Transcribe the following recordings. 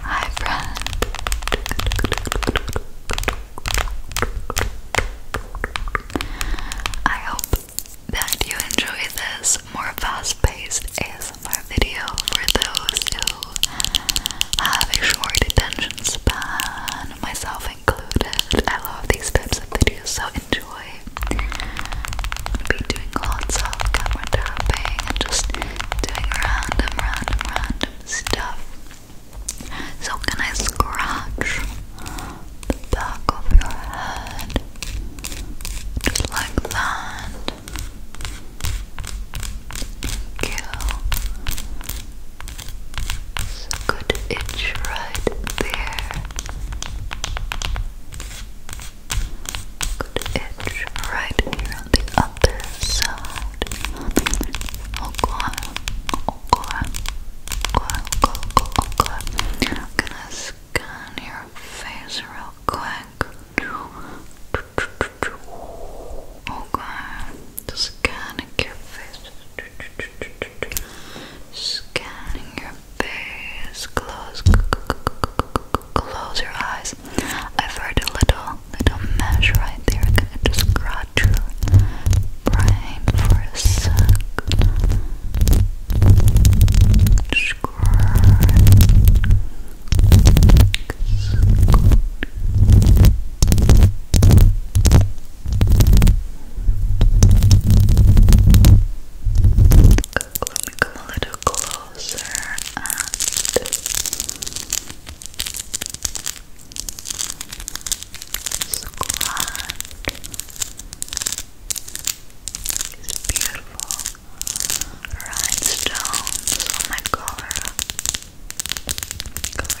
Hi, friend. I hope that you enjoy this more fast paced ASMR video for those who have a short attention span, myself included. I love these types of videos, so enjoy. be doing lots of camera tapping and just doing random, random, random stuff. So, can I scratch the back of your head? Just like that. Thank Yes, good itch right there. Good itch right here on the other side. Okay, okay, okay, okay, okay. gonna scan your face real quick. Okay, scanning your face. Scanning your face. Close, close your eyes. I've heard a little, little mesh right there. I'm gonna your brain for a sec. Scratch. Let me come a little closer and squat. These beautiful rhinestones on oh my collar. Color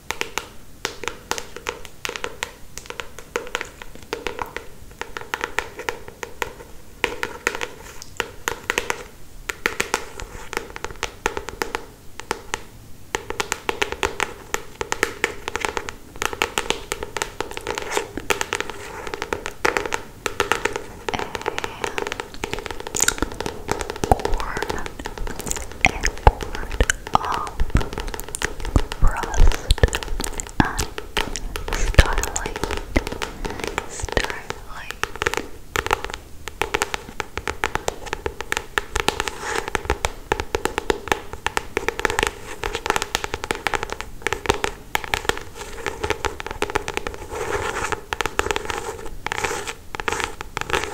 and corn and corn of rust and starlight. Starlight.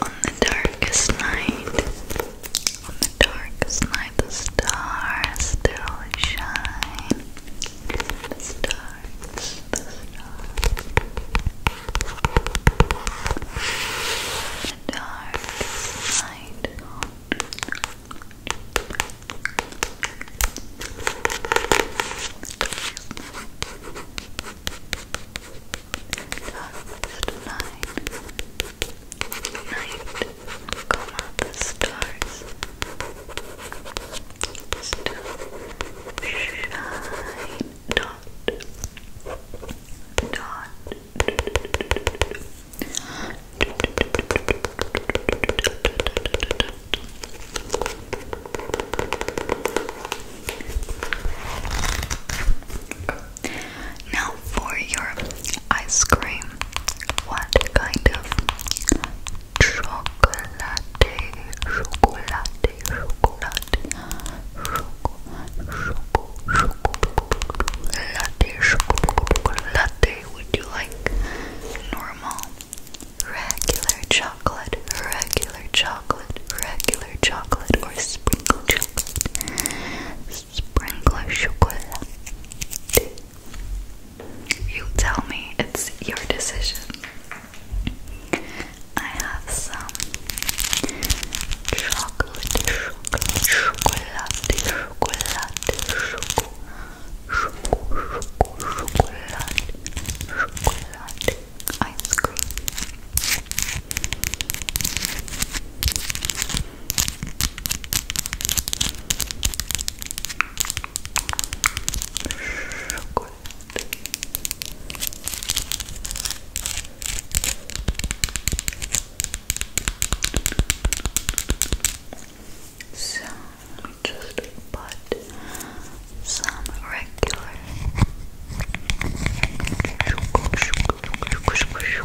On the darkest night, on the darkest night, the stars still shine. The stars, the stars. The darkest side. Darkest night, night, come out the stars. Still shine, dot, dot, now, for your ice cream, what kind of chocolate, chocolate, chocolate latte, latte. Would you like normal, regular chocolate, regular chocolate, regular chocolate, or sprinkle chocolate, sprinkle chocolate? You tell me. It's your decision. I have some Chocolate, chocolate, chocolate, chocolate, chocolate, chocolate, chocolate, chocolate, ice cream. Chocolate. So let just put some regular chocolate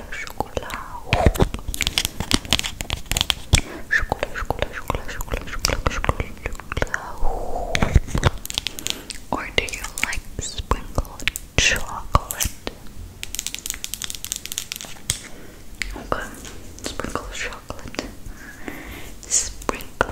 Or do you like sprinkled chocolate? sprinkle chocolate. sprinkle,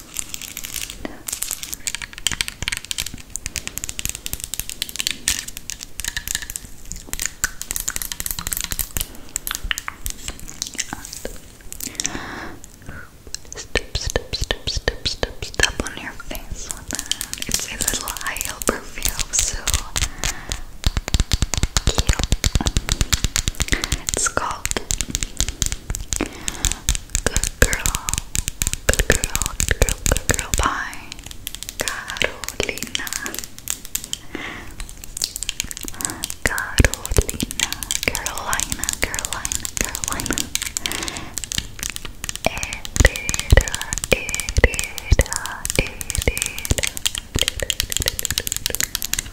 Step, step, step, step, step, step on your face It's a little high heel so It's called Good girl. Good girl. Good girl. Good girl. Bye. Carolina. Carolina. Carolina. Carolina. Carolina.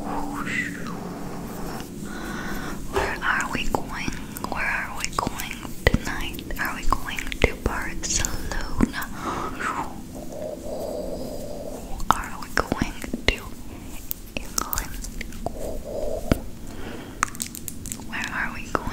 Where are we going? Where are we going tonight? Are we going to Barcelona? Are we going to England? Where are we going